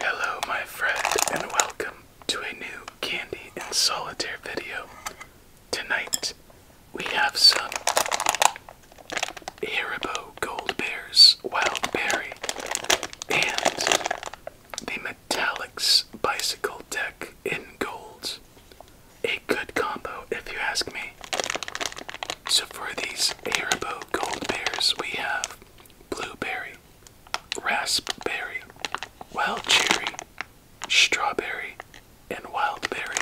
Hello, my friend, and welcome to a new Candy and Solitaire video. Tonight, we have some Haribo Gold Bears Wild Berry and the Metallics Bicycle Deck in Gold. A good combo, if you ask me. So for these Haribo Gold Bears, we have blueberry, raspberry, wild cherry, strawberry, and wild berry.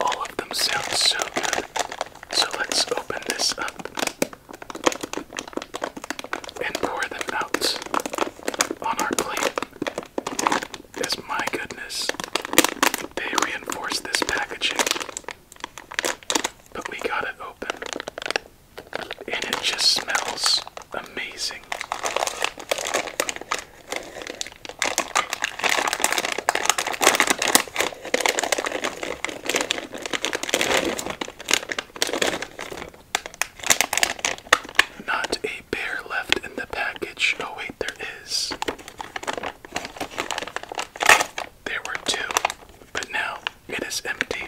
All of them sound so good. So let's open this up and pour them out on our plate. Yes, my goodness. They reinforce this packaging. But we got it open, and it just smells amazing. Not a bear left in the package. Oh, wait, there is. There were two, but now it is empty.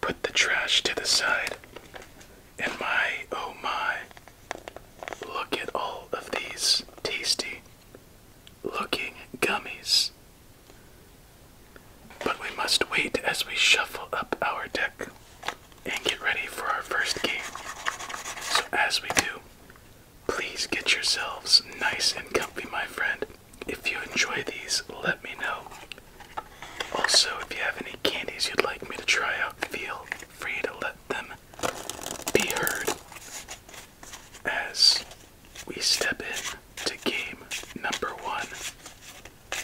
Put the trash to the side. And my, oh my, look at all of these tasty looking gummies. But we must wait as we shuffle up our deck and get ready for our first game. So, as we do, Please get yourselves nice and comfy, my friend. If you enjoy these, let me know. Also, if you have any candies you'd like me to try out, feel free to let them be heard as we step in to game number one.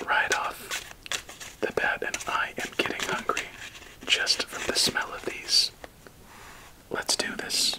Right off the bat, and I am getting hungry just from the smell of these. Let's do this.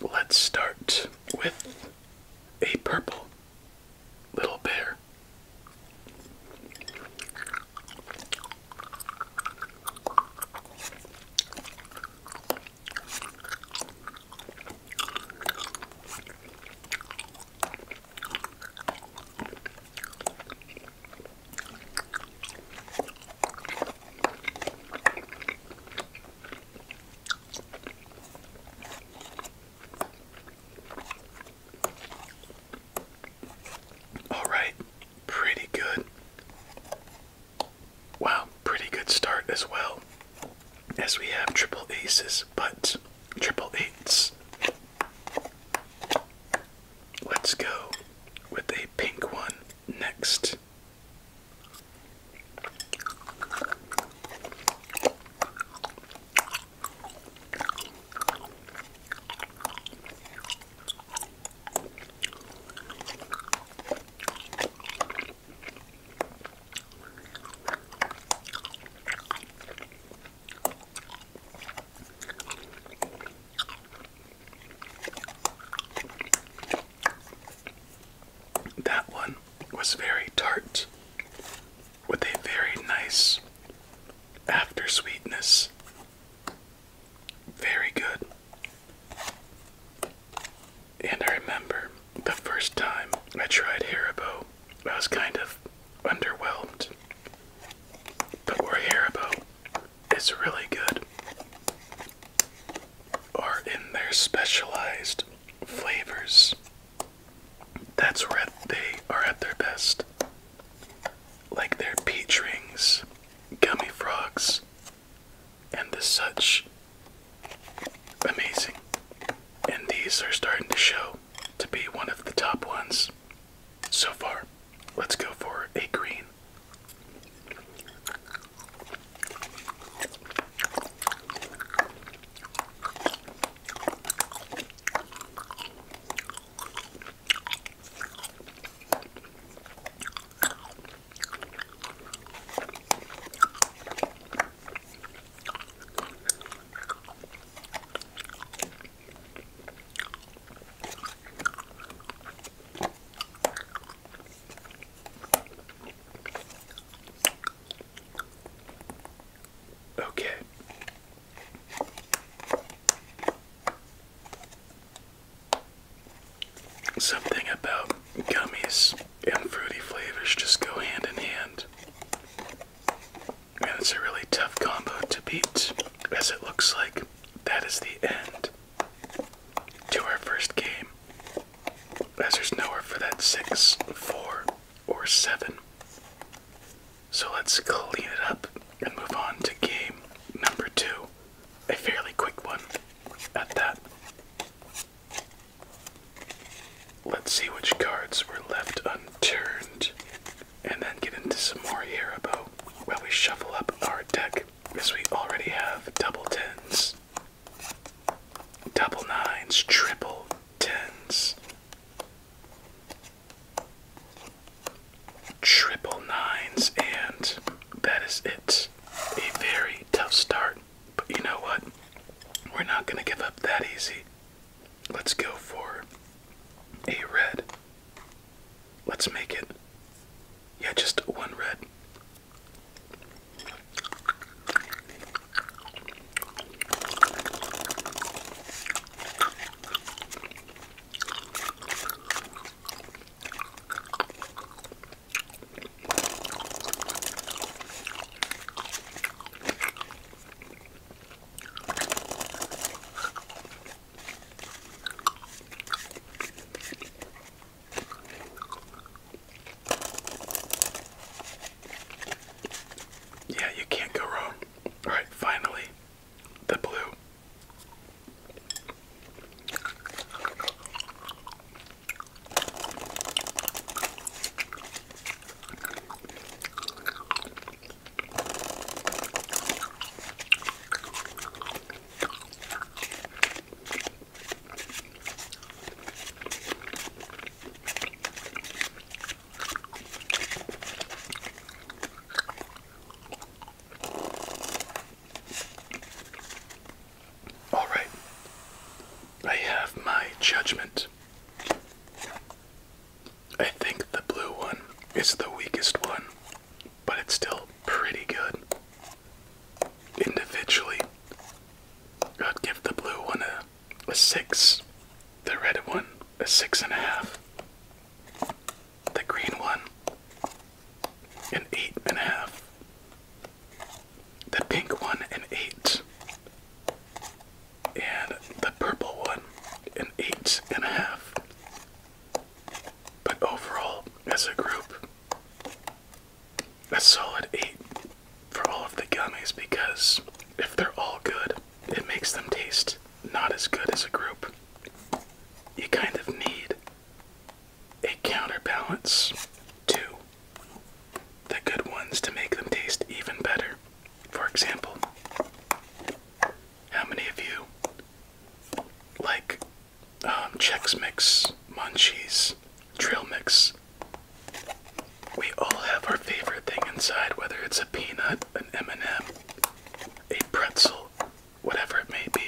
Let's start with a purple little bear. All right, pretty good. Wow, pretty good start as well. As we have triple aces, but triple eights. Let's go with a pink one next. That one was very tart with a very nice after sweetness. Very good. And I remember the first time I tried Haribo, I was kind of underwhelmed but we're Haribo is really good. Are in their specialized flavors. That's where they are at their best. Like their peach rings, gummy frogs, and the such. Amazing. And these are starting to show to be one of the top ones so far. Let's go for a green. Okay. Something about gummies and fruity flavors just go hand in hand. And it's a really tough combo to beat, as it looks like that is the end to our first game, as there's nowhere for that six, four, or seven. So let's clean it up and move on to game number two. A fairly quick one at that. Let's see which cards were left unturned and then get into some more Haribo while we shuffle up our deck as we already have double tens, double nines, triple tens, triple nines, and that is it. A very tough start, but you know what? We're not going to give up that easy. Let's go for a red Let's make it. Yeah, just one red. Yeah, you can't go wrong. All right, finally, the blue. All right, I have my judgment. I think the blue one is the weakest one but it's still pretty good. Individually, I'd give the blue one a, six, the red one a six and a half, the green one an eight and a half, the pink one an eight, and the purple one an eight and a half. But overall, as a group, a solid 8 for all of the gummies because if they're all good, it makes them taste not as good as a group. You kind of need a counterbalance to the good ones to make them taste even better. For example, how many of you like um, Chex Mix, Munchies, Trail Mix. We all have our favorite thing inside, whether it's a peanut, an M&M, a pretzel, whatever it may be.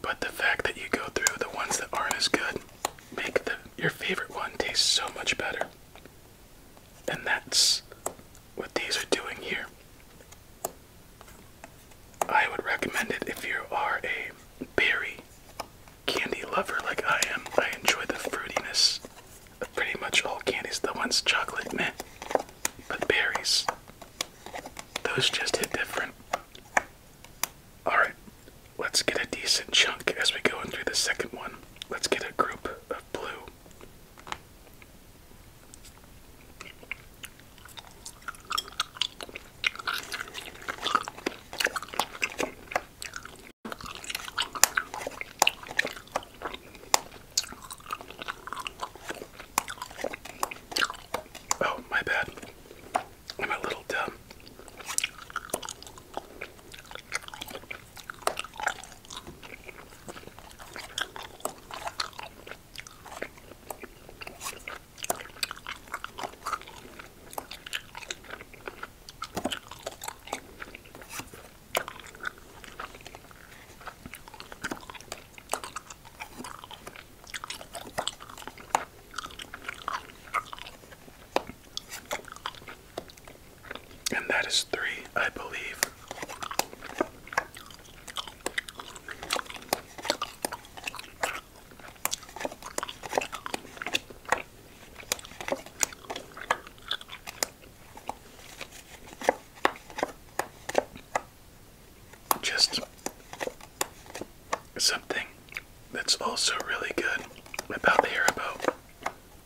But the fact that you go through the ones that aren't as good make the, your favorite one taste so much better. And that's what these are doing here. I would recommend it if you are a berry candy lover like I am. I enjoy the fruitiness of pretty much all candies. The ones chocolate, meh. But berries, those just hit different. Alright, let's get a decent chunk as we go into the second one. Let's get a group of blue. Oh, my bad. I'm a little dumb. And that is three, I believe. Just something that's also really good about the Haribo,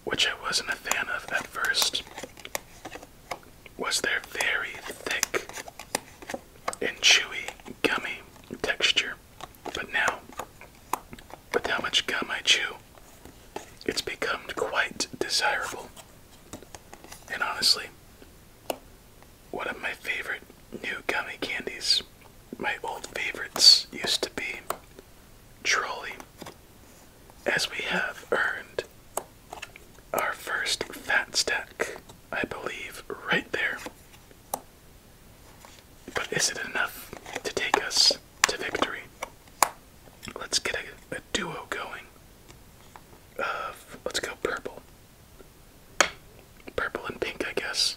which I wasn't a fan of at first, was their very thick and chewy gummy texture. But now, with how much gum I chew, it's become quite desirable. And honestly, one of my favorite new gummy candies, my old favorites used to be Trolley, as we have earned our first fat stack, I believe, right there. But is it enough to take us to victory? Let's get a, duo going. Of let's go purple. Purple and pink, I guess.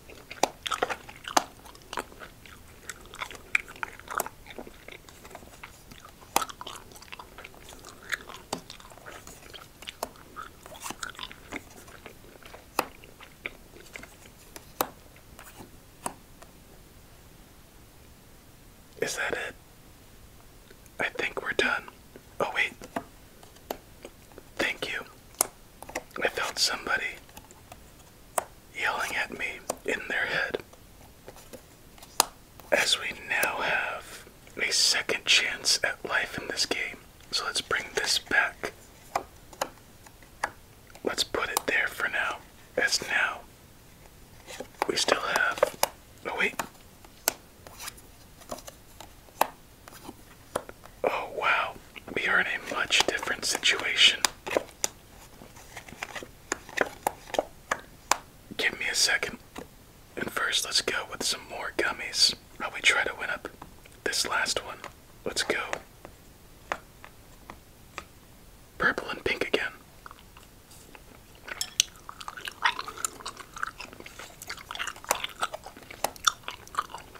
Is that it? I think we're done. Oh, wait. Thank you. I felt somebody yelling at me in their head. As we now have a second chance at life in this game, so let's bring this back. Let's put it there for now, as now we still have. Oh, wait. Oh, wow. We are in a much different situation. Give me a second. And first, let's go with some more gummies. While we try to win up this last one. Let's go. Purple and pink again.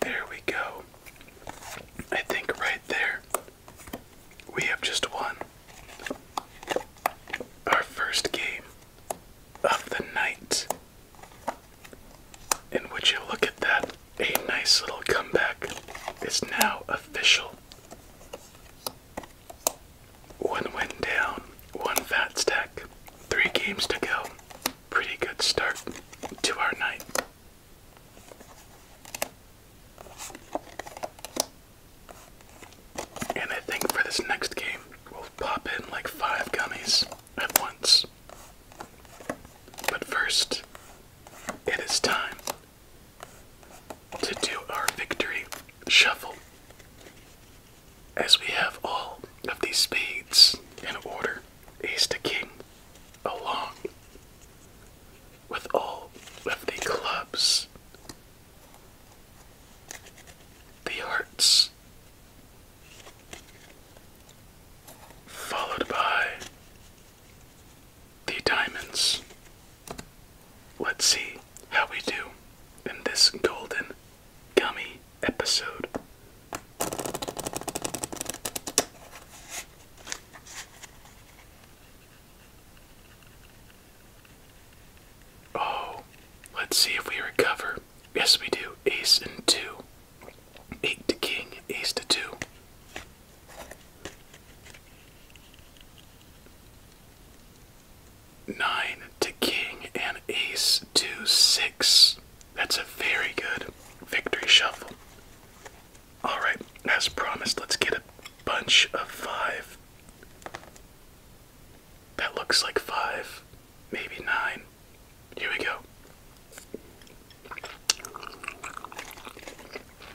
There we go. I think right there we have just won our first game of the night. And would you look at that? A nice little comeback is now official. One went down, one fat stack, three games to go. Pretty good start to our night. And I think for this next game, we'll pop in like five gummies at once. But first, it is time to do our victory shuffle as we have all of these spades in order ace to king along with all of the clubs the hearts followed by the diamonds. Let's see how we do in this golden gummy episode. Oh, let's see if we recover. Yes, we do. Ace and two. Eight to king, ace to two. Nine to king and ace two six. That's a very good victory shuffle. Alright, as promised, let's get a bunch of five. That looks like five, maybe nine. Here we go.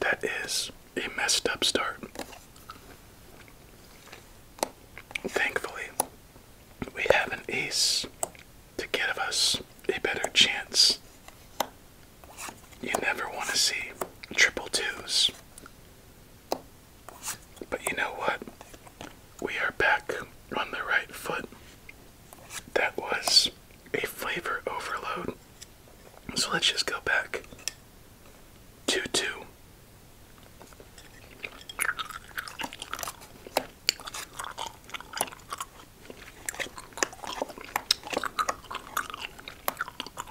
That is a messed up start. Thankfully, we have an ace to give us a better chance you never want to see triple twos. But you know what? We are back on the right foot. That was a flavor overload. So let's just go back. 2 2.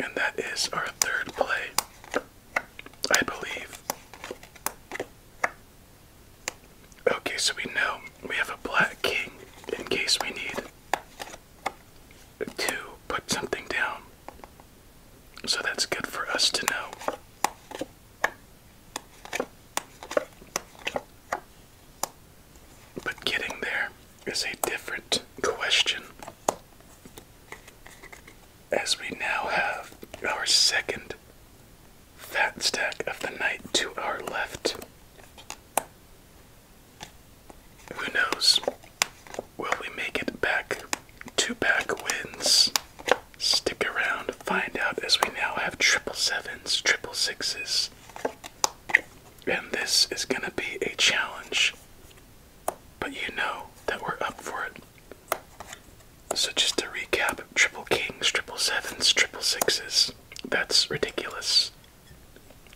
And that is our third play, I believe. Okay, so we know we have a black king in case we need to put something down. So that's good for us to know. But getting there is a different question. As we now have our second Fat stack of the night to our left. Who knows? Will we make it back? Two pack wins. Stick around, find out as we now have triple sevens, triple sixes. And this is gonna be a challenge. But you know that we're up for it. So, just to recap triple kings, triple sevens, triple sixes. That's ridiculous.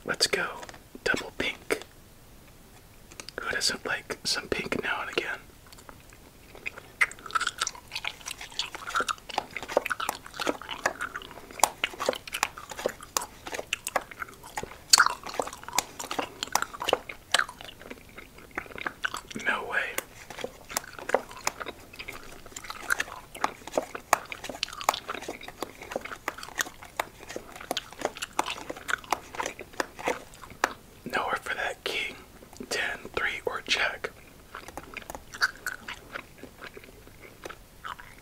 Let's go. Double pink. Who doesn't like some pink now and again? No way. Nowhere for that king, 10, or check.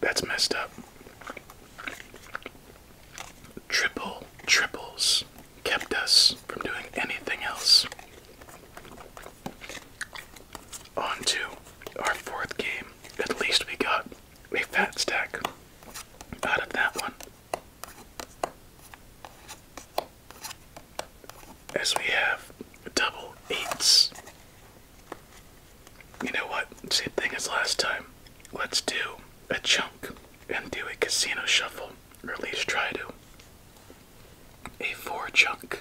That's messed up. Triple triples kept us from doing anything else. On to our fourth game. At least we got a fat stack out of that one. As we have double eights. You know what? Same thing as last time. Let's do a chunk and do a casino shuffle, or at least try to. A four chunk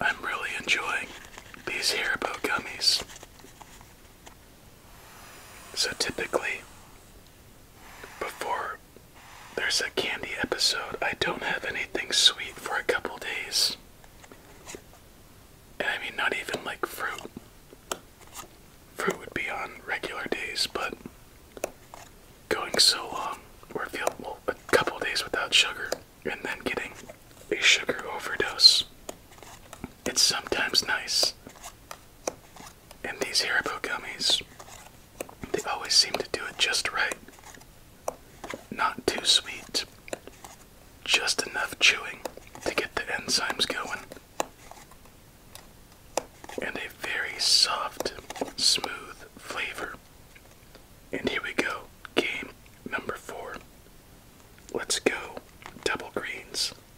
I'm really enjoying these Haribo gummies. So typically, before there's a candy episode, I don't have anything sweet for a couple days. And I mean, not even like fruit. Fruit would be on regular days, but going so long, or a couple days without sugar, and then getting a sugar overdose, it's sometimes nice and these Haribo gummies, they always seem to do it just right. Not too sweet, just enough chewing to get the enzymes going. And a very soft, smooth flavor. And here we go, game number four. Let's go, double greens.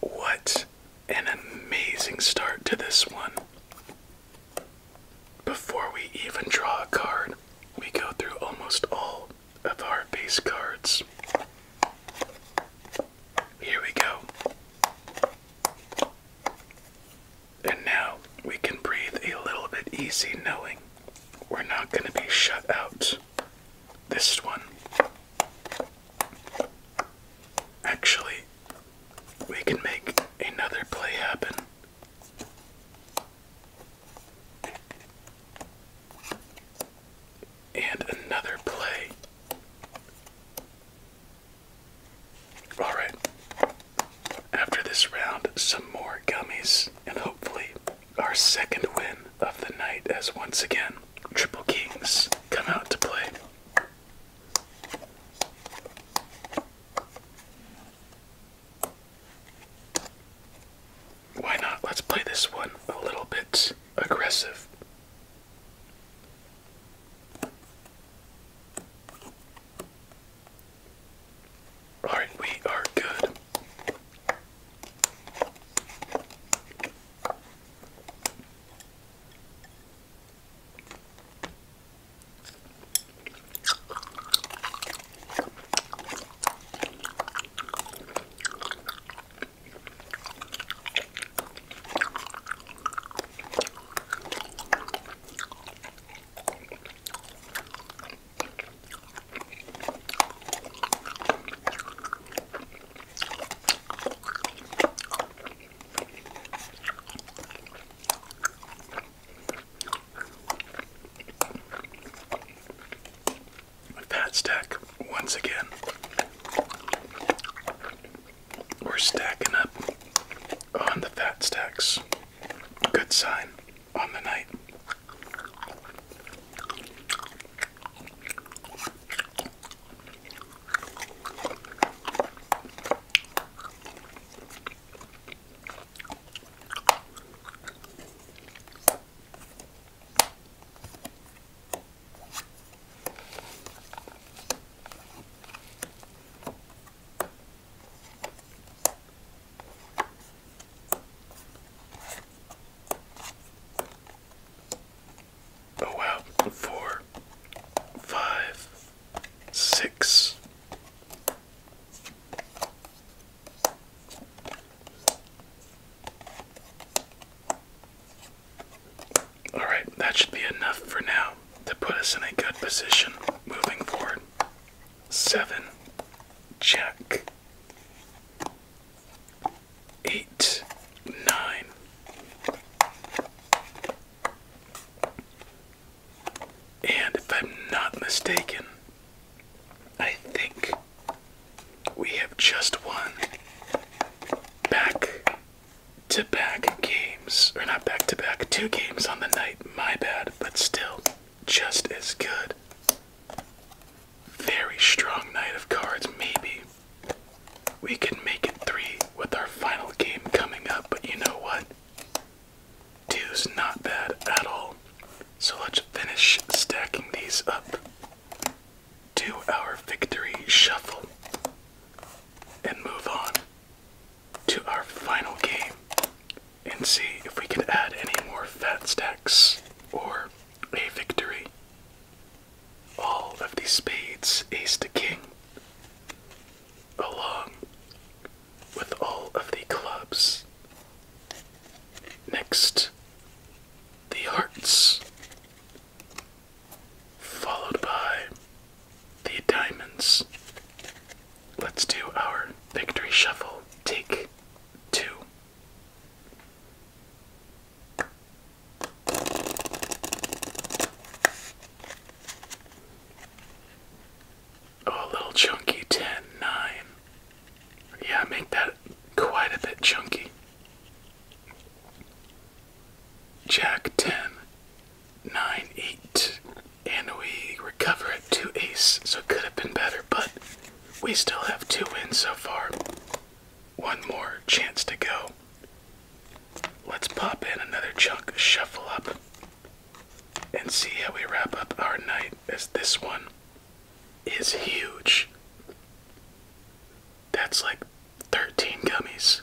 What an amazing start to this one. Before we even draw a card, we go through almost all of our base cards. Here we go. And now we can breathe a little bit easy knowing we're not going to be shut out. This one. Actually, we can make another play happen. And another play. Alright. After this round, some more gummies, and hopefully our second win of the night as once again Triple Kings come out to play. Why not? Let's play this one a little bit aggressive. All right, we are good. With Pat's once again. We're stacking up on the fat stacks. Good sign on the night. Oh wow, four, five, six. All right, that should be enough for now to put us in a good position moving forward. Seven, check. Eight, nine. And if I'm not mistaken, I think we have just won back to back games, or not back to back, two games on the night, my bad, but still just as good. Very strong night of cards, maybe. We can make it three with our final game coming up, but you know what? Two's not bad at all. So let's finish stacking these up to our victory shuffle and move on to our final game and see if we can add any more fat stacks or a victory. All of the spades ace to king, along with all of the clubs. Next, the hearts, followed by the diamonds. Let's do our victory shuffle. Take two. Oh, a little chunky ten, nine. Yeah, make that quite a bit chunky. Jack 10, nine eight, and we recover at two ace. So it could have been better, but we still have two wins so far. One more chance to go. Let's pop in another chunk, shuffle up, and see how we wrap up our night. As this one is huge. That's like 13 gummies.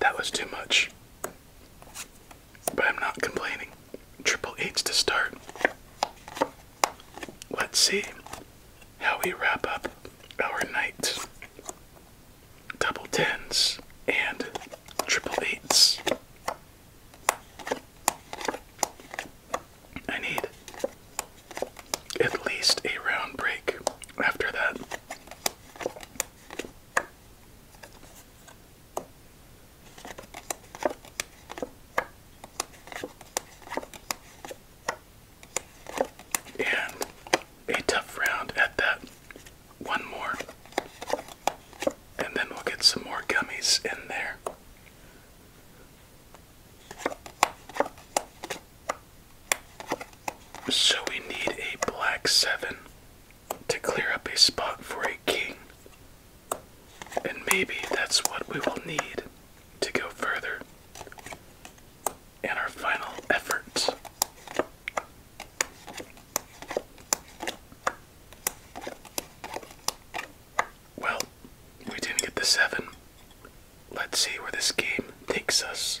That was too much. But I'm not complaining. Triple eights to start. Let's see how we wrap up our night. Double tens and triple eights. I need at least a round break after that. And a tough round at that. One more. And then we'll get some more gummies in there. So we need a black 7 to clear up a spot for a king. And maybe that's what we will need to go further in our final efforts. Well, we didn't get the seven. Let's see where this game takes us.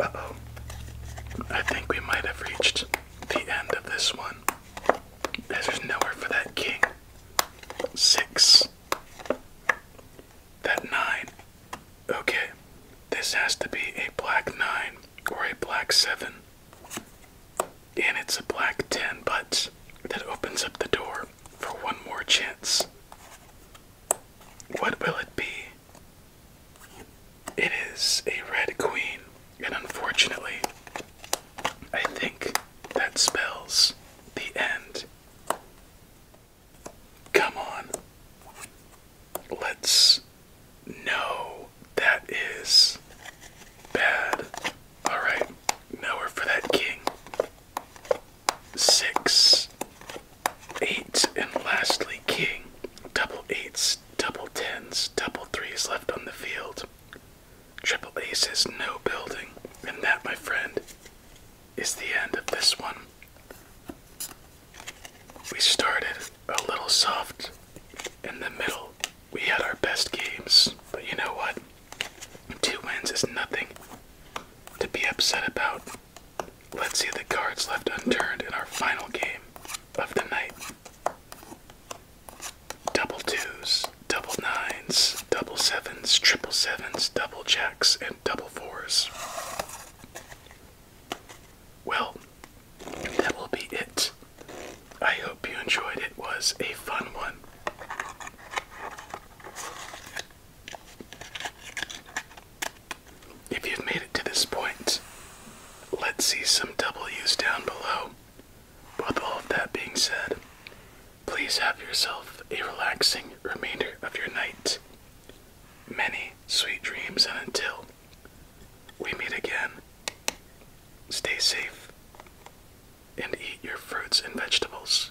Uh oh. I think we might have reached the end of this one. there's nowhere for that king. Six. That nine. Okay. This has to be a black nine or a black seven. And it's a black ten, but that opens up the door for one more chance. What will it be? It is a red queen, and unfortunately, I think that spells the end. Come on. Let's know that is bad. Alright, now we're for that king six, eight, and lastly king. Double eights, double tens, double threes left on the field. Triple aces, no building. And that, my friend, is the end of this one. We started a little soft in the middle. We had our best games, but you know what? Two wins is nothing to be upset about. Let's see the cards left unturned in our final game of the night. Double twos, double nines, double sevens, triple sevens, double jacks, and double fours. Well, that will be it. I hope you enjoyed it. it was a fun one. If you've made it to this point, let's see some W's down below. With all of that being said, please have yourself a relaxing remainder of your night. Many sweet dreams, and until we meet again, stay safe and eat your fruits and vegetables.